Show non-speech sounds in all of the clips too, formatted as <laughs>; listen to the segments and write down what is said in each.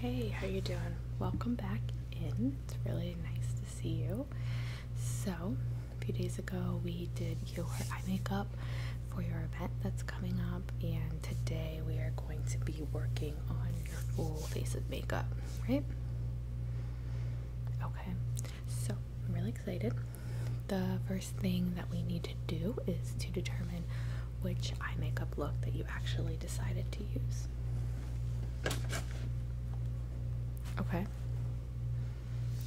Hey, how you doing? Welcome back in. It's really nice to see you. So, a few days ago we did your eye makeup for your event that's coming up, and today we are going to be working on your full face of makeup, right? Okay. So, I'm really excited. The first thing that we need to do is to determine which eye makeup look that you actually decided to use. Okay.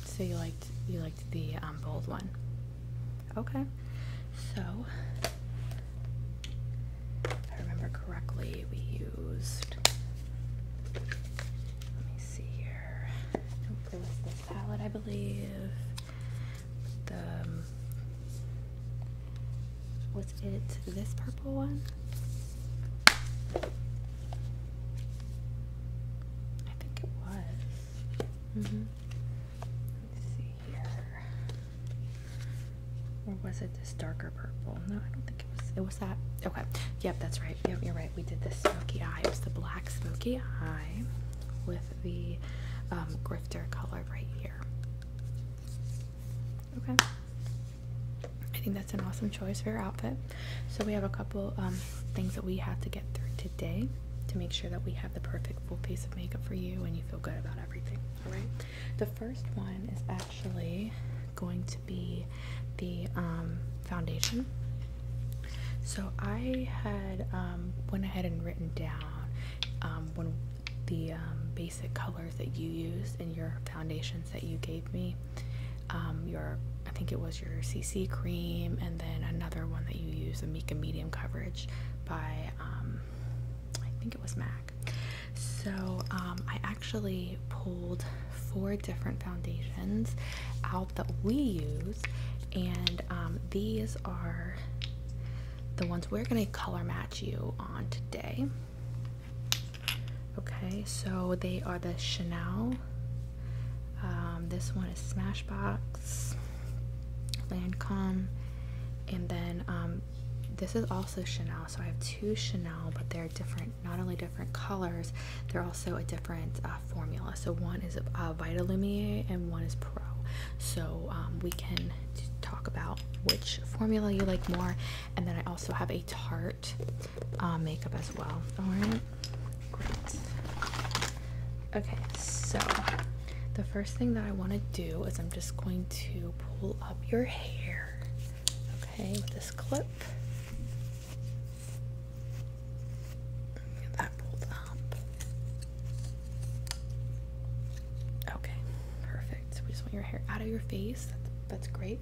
So you liked you liked the um, bold one. Okay. So if I remember correctly, we used let me see here. Hopefully, there this palette, I believe the um, was it this purple one? I think it was. Mm-hmm. Let's see here. Or was it this darker purple? No, I don't think it was. It was that. Okay. Yep, that's right. Yep, you're right. We did this smoky eye. It was the black smoky eye with the um, grifter color right here. Okay. I think that's an awesome choice for your outfit. So we have a couple um, things that we have to get through today to make sure that we have the perfect full piece of makeup for you and you feel good about everything. All right. The first one is actually going to be the um, foundation. So I had um, went ahead and written down um, one when the um, basic colors that you used and your foundations that you gave me. Um, your I think it was your CC cream, and then another one that you use, the Mika Medium Coverage by um, I think it was MAC. So um, I actually pulled four different foundations out that we use, and these are the ones we're going to color match you on today. Okay, so they are the Chanel. Um, this one is Smashbox, Lancome, and then um, this is also Chanel. So I have two Chanel, but they're different, not only different colors, they're also a different uh, formula. So one is uh, Vita Lumiere and one is Pro so um, we can talk about which formula you like more. And then I also have a Tarte uh, makeup as well. All right, great. Okay, so the first thing that I want to do is I'm just going to pull up your hair, okay, with this clip. Get that pulled up. Okay, perfect. we just want your hair out of your face. That's, great.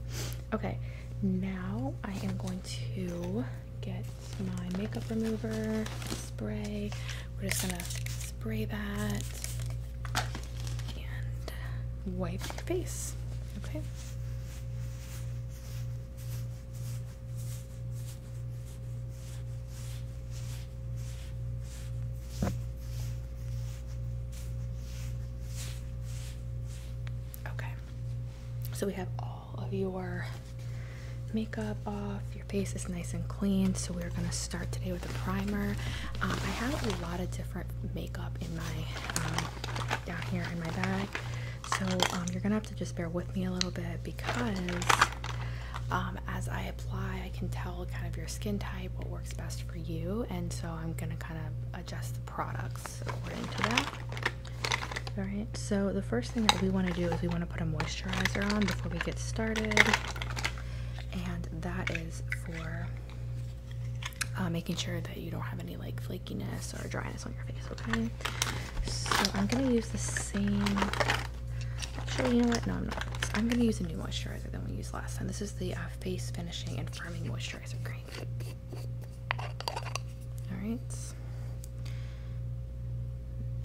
Okay, now I am going to get my makeup remover spray. We're just gonna spray that and wipe your face. Okay. Okay, so we have all of your makeup off, your face is nice and clean. So, we're gonna start today with a primer. Um, I have a lot of different makeup in my um, down here in my bag, so um, you're gonna have to just bear with me a little bit because as I apply, I can tell kind of your skin type, what works works best for you, and so I'm gonna kind of adjust the products according to that. All right, so the first thing that we want to do is we want to put a moisturizer on before we get started, and that is for uh, making sure that you don't have any like flakiness or dryness on your face, okay? So I'm gonna use the same. Actually, you know what? No, I'm not. I'm gonna use a new moisturizer than we used last time. This is the face finishing and firming moisturizer cream. Alright.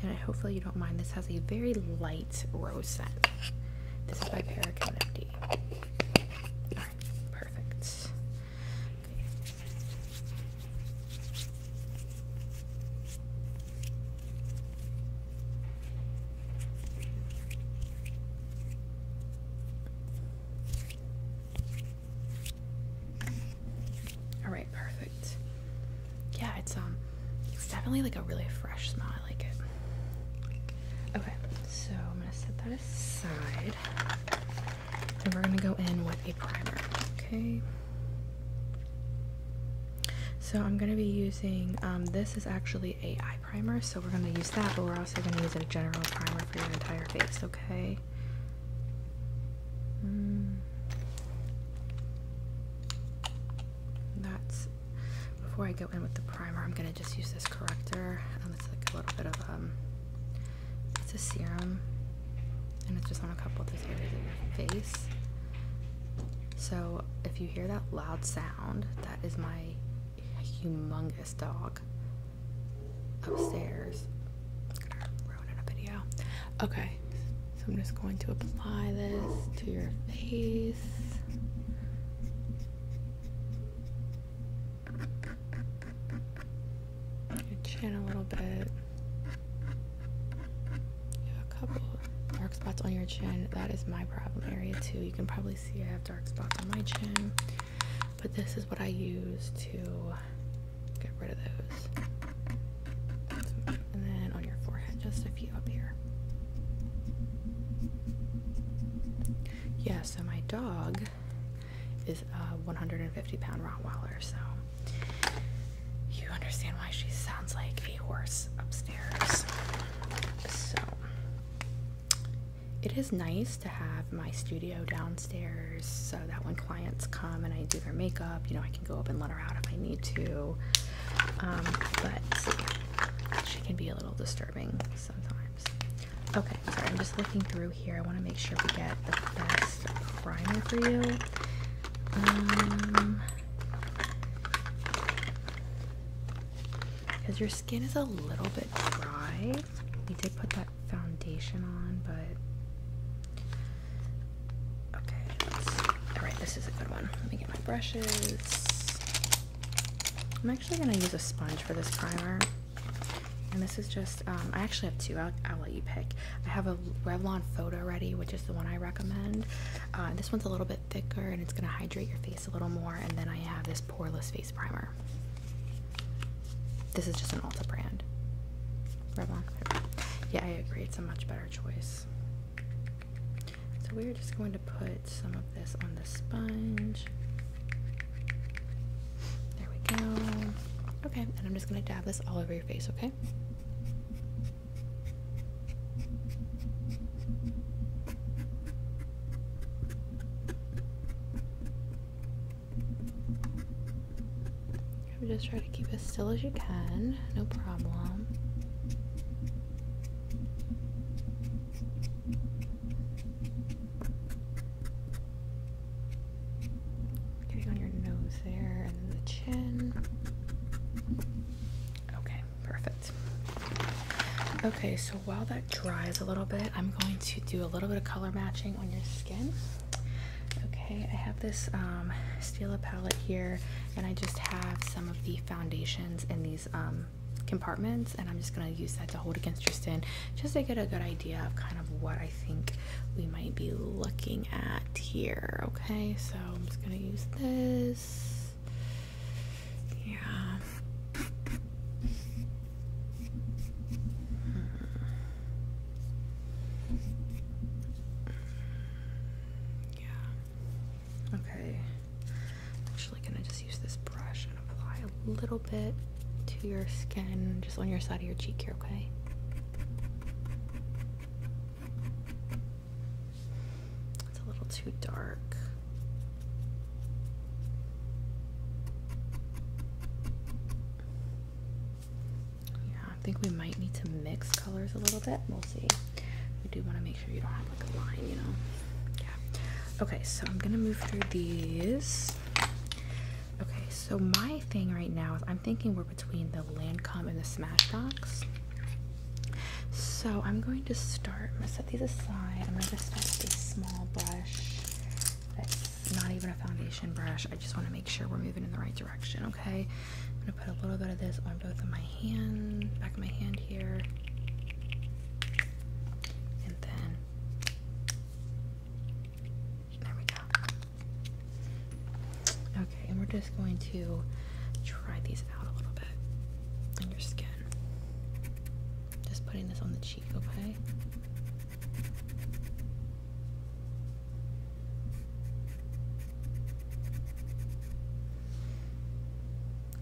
And I, hopefully you don't mind. This has a very light rose scent. This is by Paragon MD. Alright, perfect. All right, perfect. Yeah, it's um it's definitely like a really fresh smell. I like it. Okay, so I'm gonna set that aside. And we're gonna go in with a primer. Okay. So I'm gonna be using um, this is actually a eye primer, so we're going to use that, but we're also going to use a general primer for your entire face, okay? Hmm. That's before I go in with the primer, I'm going to just use this corrector. it's like a little bit of um, it's a serum, and it's just on a couple of the areas of your face. So if you hear that loud sound, that is my a humongous dog upstairs. I'm going a video. Okay, so I'm just going to apply this to your face. Your chin a little bit. a couple dark spots on your chin. That is my problem area too. You can probably see I have dark spots on my chin, but this is what I use to get rid of those. And then on your forehead, just a few up here. Yeah, so my dog is a 150 pound Rottweiler, so you understand why she sounds like a horse upstairs. So it is nice to have my studio downstairs so that when clients come and I do their makeup, you know, I can go up and let her out if I need to. Um, but she can be a little disturbing sometimes. Okay, sorry, I'm just looking through here. I want to make sure we get the best primer for you. Um, because your skin is a little bit dry. We did put that foundation on, but okay. right, this is a good one. Let me get my brushes. I'm actually gonna use a sponge for this primer. And this is just, um, I actually have two, will let you pick. I have a Revlon Photo Ready, which is the one I recommend. Uh, this one's a little bit thicker and it's gonna hydrate your face a little more, and then I have this poreless face primer. This is just an Ulta brand. Yeah, I agree. It's a much better choice. So we're just going to put some of this on the sponge. There we go. Okay, and I'm just going to dab this all over your face, okay? I'm Just trying to keep as still as you can, no problem. Getting on your nose there and the chin. Okay perfect okay so while that dries a little bit i'm going to do a little bit of color matching on your skin okay i have this um stila palette here and i just have some of the foundations in these um, compartments and i'm just going to use that to hold against your skin just to get a good idea of kind of what i think we might be looking at here okay so i'm just going to use this yeah. Yeah. Okay. actually can I just use this brush and apply a little bit to your skin, just on your side of your cheek here, okay? It's a little too dark. Yeah, I think we might need to mix colors a little bit. We'll see. We do want to make sure you don't have like a line, you know. Yeah. Okay, so I'm gonna move through these. Okay, so my thing right now is I'm thinking we're between the Lancome and the Smashbox. So I'm going to start to set these aside. I'm going to just start with a small brush that's not even a foundation brush. I just want to make sure we're moving in the right direction, okay? I'm going to put a little bit of this on both of my hand, back of my hand here. And then, there we go. Okay, and we're just going to try these out a little bit on your skin. Just putting this on the cheek. Okay.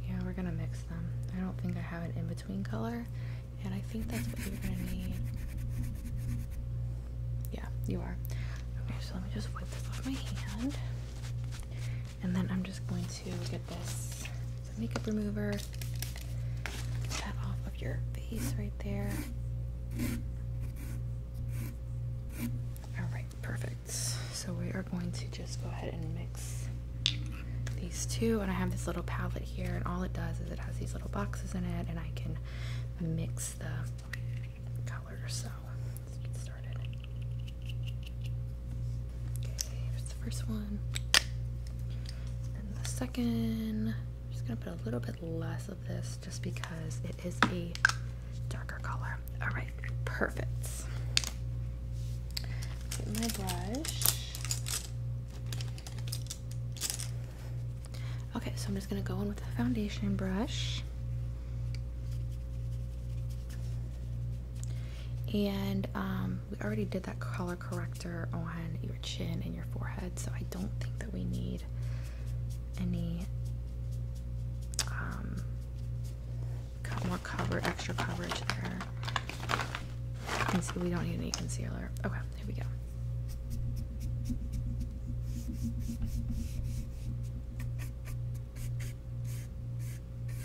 Yeah, we're gonna mix them. I don't think I have an in-between color, and I think that's what you're gonna need. Yeah, you are. Okay, so let me just wipe this off my hand. And then I'm just going to get at this. So makeup remover. Get that off of your face right there. Alright, perfect. So we are going to just go ahead and mix these two. And I have this little palette here, and all it does is it has these little boxes in it, and I can mix the colors. So let's get started. Here's the first one. And the second, I'm just gonna put a little bit less of this just because it is a darker color. All right, perfect. Get my brush. Okay, so I'm just gonna go in with the foundation brush. And um, we already did that color corrector on your chin and your forehead, so I don't think that we need any um, more cover, extra coverage there. You can see we don't need any concealer. Okay, here we go.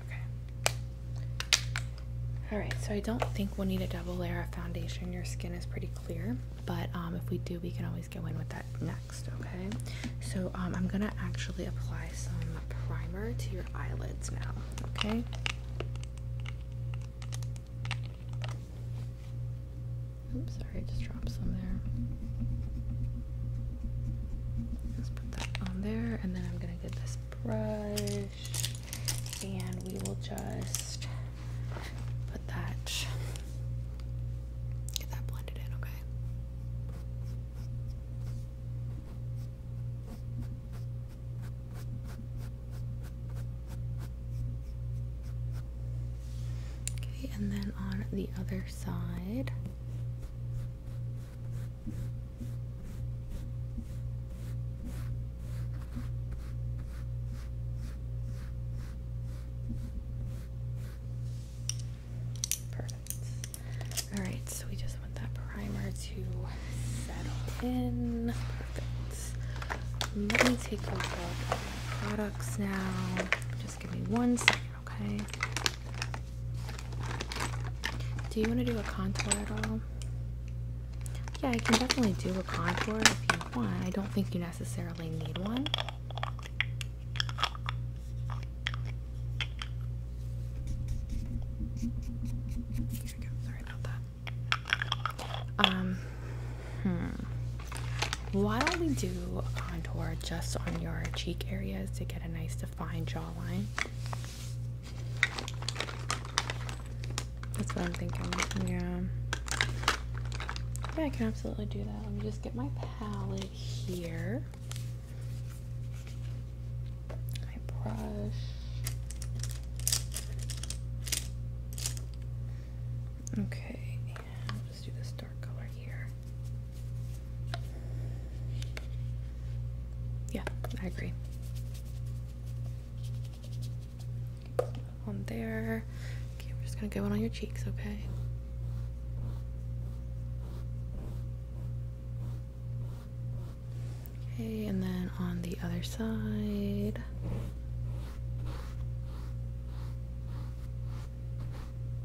Okay. Alright, so I don't think we'll need a double layer of foundation. Your skin is pretty clear, but um, if we do, we can always go in with that next, okay? So um, I'm gonna actually apply some primer to your eyelids now, okay? Oops, sorry, I just dropped some there. Let's put that on there, and then I'm gonna get this brush, and we will just put that, get that blended in, okay? Okay, and then on the other side. Perfect. All right, so we just want that primer to settle in. Perfect. Let me take a look at my products now. Just give me one second, okay? Do you want to do a contour at all? Yeah, I can definitely do a contour if you want. I don't think you necessarily need one. Here we go. Sorry about that. Um, Hmm. Why don't we do a contour just on your cheek areas to get a nice defined jawline? That's what I'm thinking. Yeah. Yeah, I can absolutely do that. Let me just get my palette here. My brush. Okay, I'll just do this dark color here. Yeah, I agree. Okay, on there. Okay, we're just gonna go in on your cheeks, okay? Okay, and then on the other side.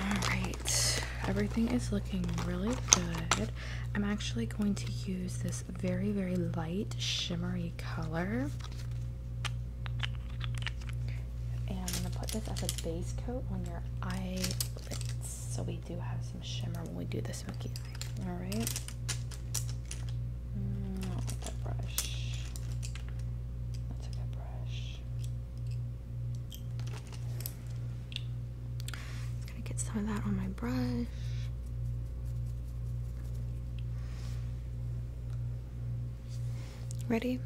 All right, everything is looking really good. I'm actually going to use this very, very light shimmery color. And I'm going to put this as a base coat on your eyelids. So we do have some shimmer when we do the smoky All right. Mm, that brush. That's a good brush gonna get some of that on my brush. Ready?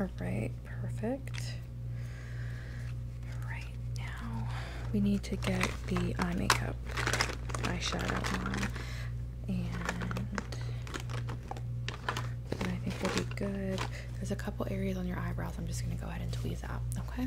All right, perfect. Right now, we need to get the eye makeup eyeshadow on. And, and I think we'll be good. There's a couple areas on your eyebrows I'm just going to go ahead and tweeze out, okay?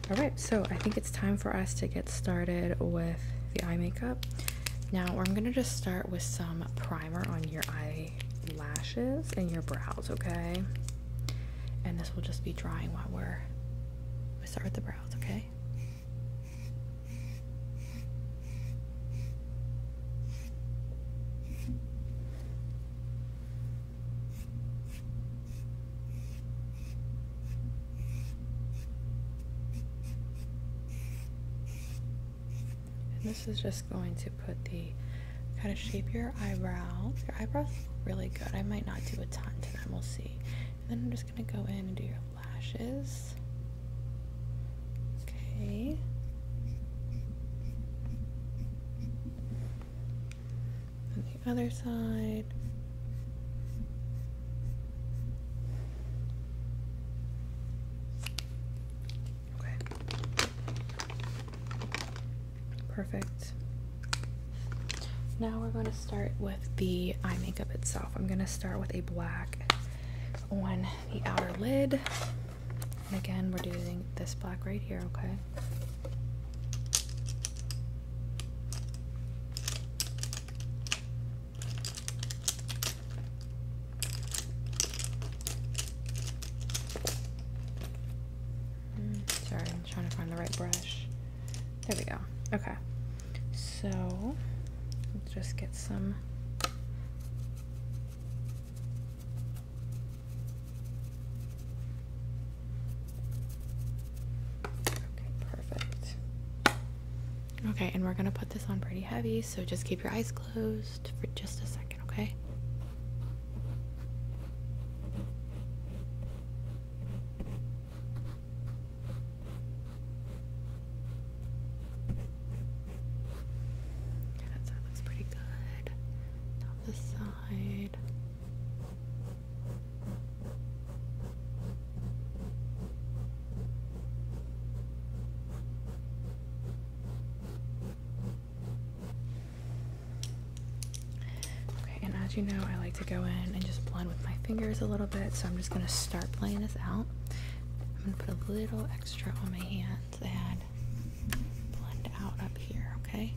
All right, so I think it's time for us to get started with the eye makeup. Now, I'm going to just start with some primer on your eyelashes and your brows, okay? And this will just be drying while we're, we start with the brows, okay? And this is just going to put the kind of shape your eyebrows. Your eyebrows really good. I might not do a ton to We'll see. then I'm just going to go in and do your lashes. Okay the other side. Okay. Perfect. Now we're going to start with the eye makeup itself. I'm going to start with a black on the outer lid. And again, we're doing this black right here, okay? Mm, sorry, I'm trying to find the right brush. There we go. Okay. So, let's just get some Okay, perfect. Okay, and we're gonna put this on pretty heavy, so just keep your eyes closed for just a second, okay? That's, that looks pretty good. the side. Okay, and as you know, I like to go in and just blend with my fingers a little bit, so I'm just gonna start playing this out. I'm gonna put a little extra on my hands and blend out up here, okay?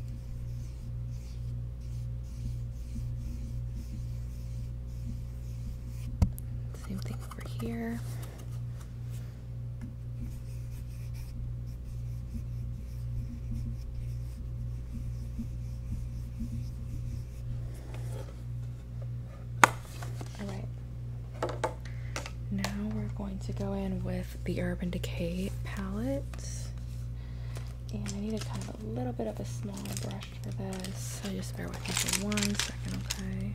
Same thing over here. Now we're going to go in with the Urban Decay palette. And I need to kind of a little bit of a small brush for this. So just bear with me for one second, okay?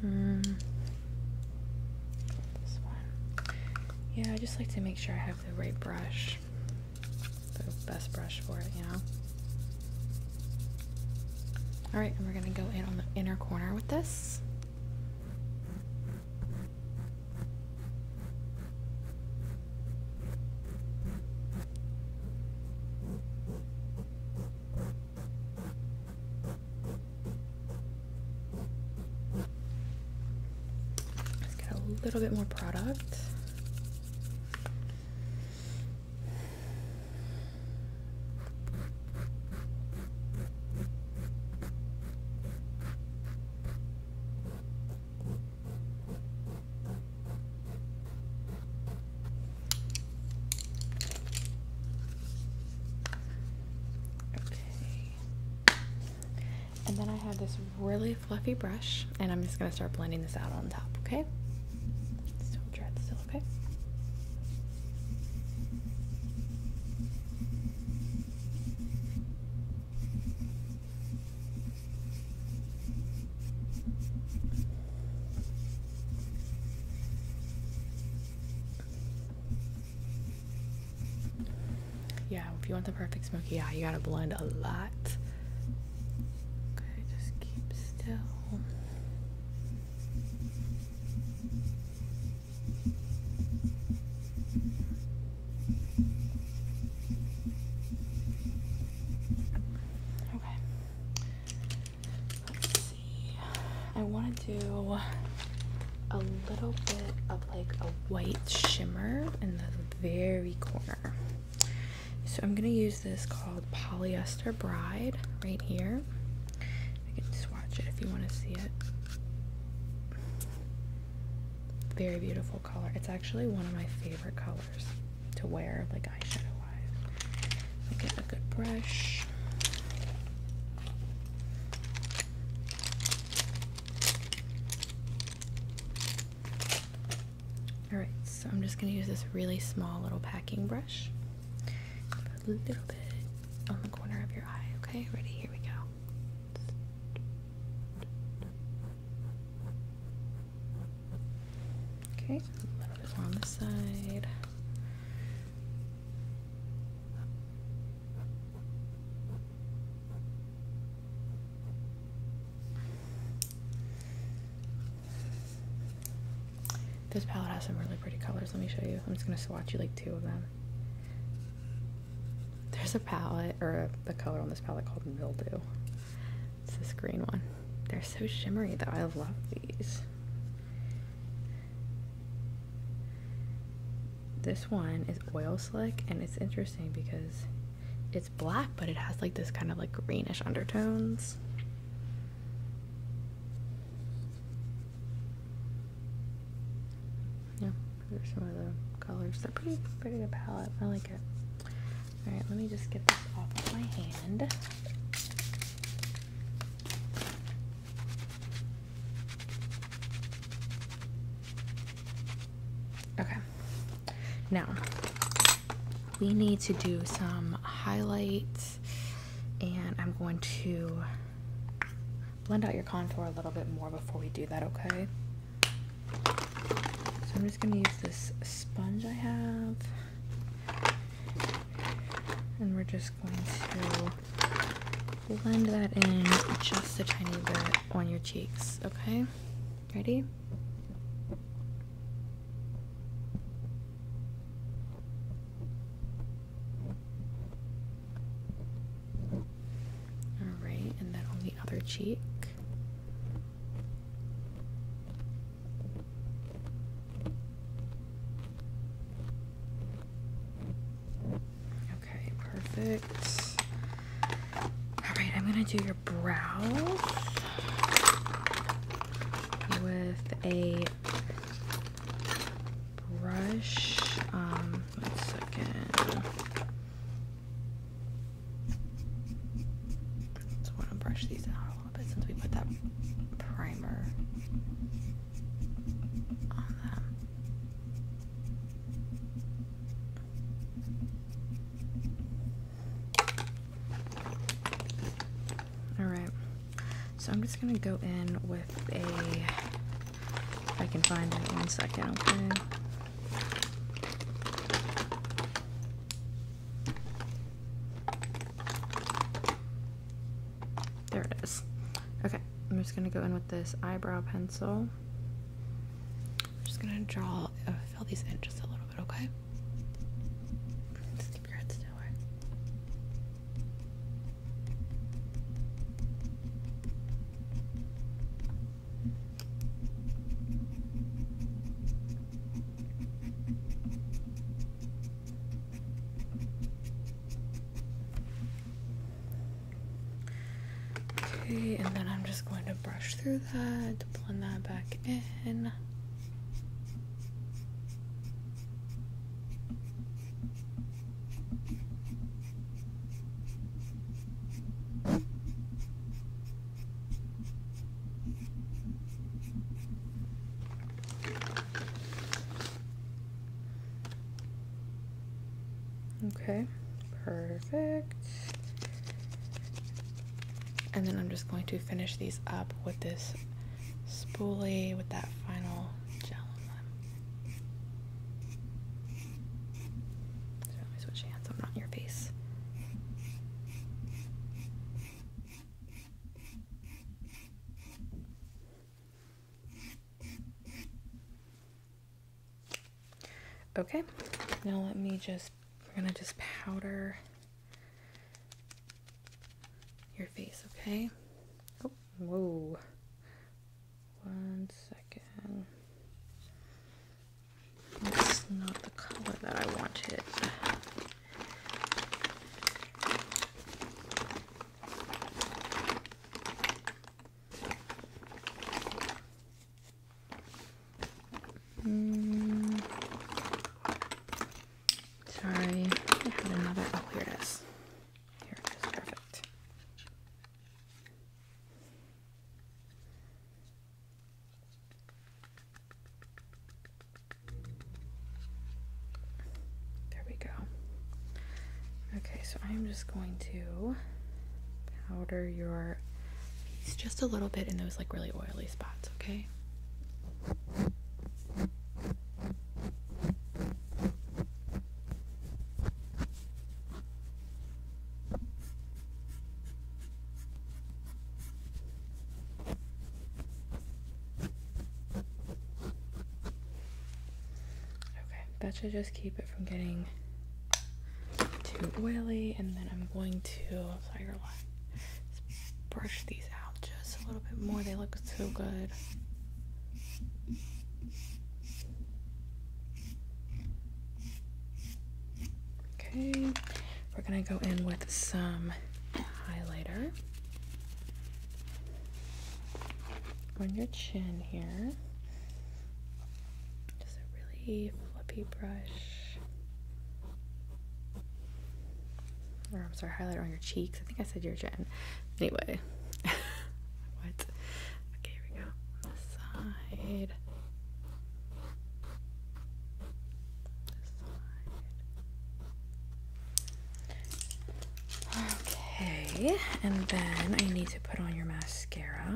Hmm. This one. Yeah, I just like to make sure I have the right brush. The best brush for it, you know? All right, and we're gonna go in on the inner corner with this. get a little bit more product. Okay. And then I have this really fluffy brush, and I'm just going to start blending this out on top, okay? okay? Yeah, if you want the perfect smoky eye, you gotta blend a lot. Okay, just keep still. Okay. Let's see. I want to do a little bit of like a white shimmer in the very corner. So I'm going to use this called Polyester Bride right here. I can just watch it if you want to see it. Very beautiful color. It's actually one of my favorite colors to wear, like eyeshadow wise. I get a good brush. Alright, so I'm just going to use this really small little packing brush a little bit on the corner of your eye, okay? Ready? Here we go. Okay, a little bit on the side. This palette has some really pretty colors. Let me show you. I'm just gonna swatch you like two of them. There's a palette or a, color on this palette called Mildew. It's this green one. They're so shimmery though. I love these. This one is oil slick and it's interesting because it's black but it has like this kind of like greenish undertones. Yeah, these are some of the colors. They're pretty, pretty good palette. I like it. Alright, let me just get this off of my hand. Okay. Now, we need to do some highlights and I'm going to blend out your contour a little bit more before we do that, okay? So I'm just going to use this sponge I have. And we're just going to blend that in just a tiny bit on your cheeks, okay? Ready? Alright, and then on the other cheek. Okay, perfect. Alright, I'm gonna do your brows with a brush. Um, one second. So want to brush these out a little bit since we put that primer on them. All right. So I'm just gonna go in with a, if I can find it, one second, okay? There it is. Okay, I'm just gonna go in with this eyebrow pencil. I'm just gonna draw, uh, fill these in just a little bit, okay? Okay, and then I'm just going to brush through that, blend that back in. Okay, perfect. And then I'm just going to finish these up with this spoolie, with that final let me switch hands. I'm not in your face. Okay, now let me just, we're gonna just powder your face, okay? Oh, whoa. One second. That's not the color that I wanted. Mm. Sorry, another. Oh, here it is. Here it is, perfect. There we go. Okay, so I'm just going to powder your piece just a little bit in those like really oily spots, okay? Okay, that should just keep it from getting too oily, and then I'm going to sorry, brush these out just a little bit more. They look so good. Okay, we're gonna go in with some highlighter on your chin here. Just a really flippy brush. Or I'm sorry, highlighter on your cheeks. I think I said your chin. Anyway. <laughs> what? Okay, here we go. side. Okay, and then I need to put on your mascara.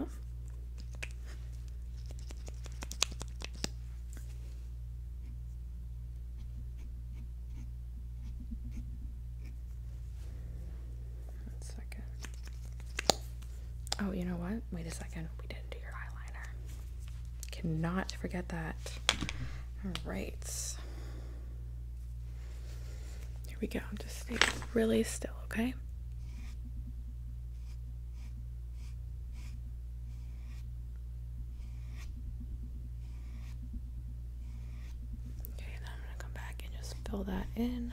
Oh, you know what? Wait a second. We didn't do your eyeliner. Cannot forget that. All right. Here we go. Just stay really still, okay? Okay, I'm going to come back and just fill that in.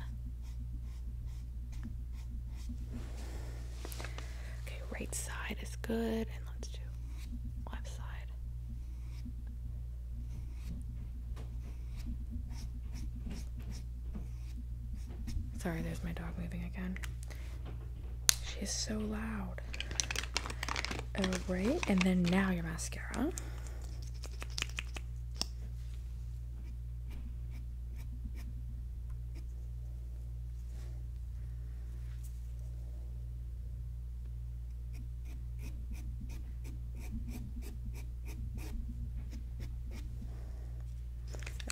Okay, right side is good. And let's do left side. Sorry, there's my dog moving again. She is so loud. Alright, and then now your mascara.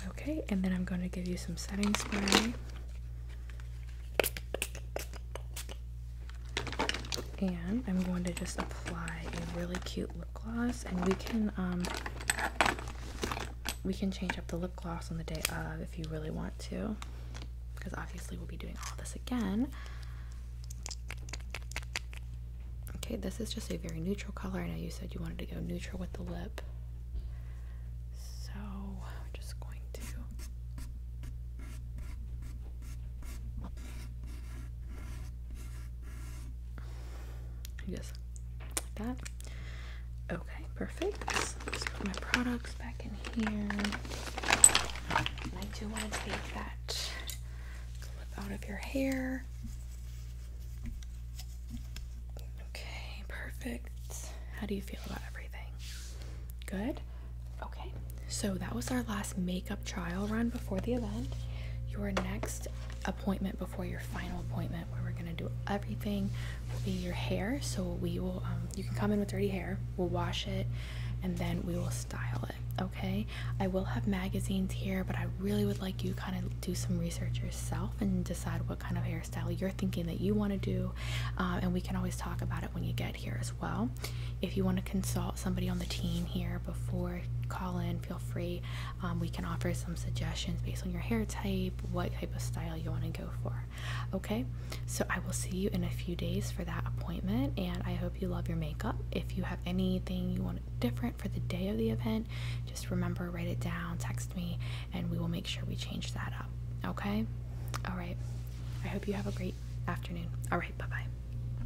Okay, and then I'm going to give you some setting spray and I'm going to just apply a really cute lip gloss and we can um, we can change up the lip gloss on the day of if you really want to because obviously we'll be doing all this again okay this is just a very neutral color I know you said you wanted to go neutral with the lip so I'm just going to just like that. Okay, perfect. put my products back in here. And I do want to take that clip out of your hair. Okay, perfect. How do you feel about everything? Good? Okay, so that was our last makeup trial run before the event. Your next appointment before your final appointment, where we're gonna do everything, will be your hair. So we will, um, you can come in with dirty hair. We'll wash it, and then we will style it. Okay. I will have magazines here, but I really would like you kind of do some research yourself and decide what kind of hairstyle you're thinking that you want to do, uh, and we can always talk about it when you get here as well. If you want to consult somebody on the team here before call in, feel free. Um, we can offer some suggestions based on your hair type, what type of style you want to go for. Okay, so I will see you in a few days for that appointment, and I hope you love your makeup. If you have anything you want different for the day of the event, just remember, write it down, text me, and we will make sure we change that up. Okay, all right. I hope you have a great afternoon. All right, bye bye.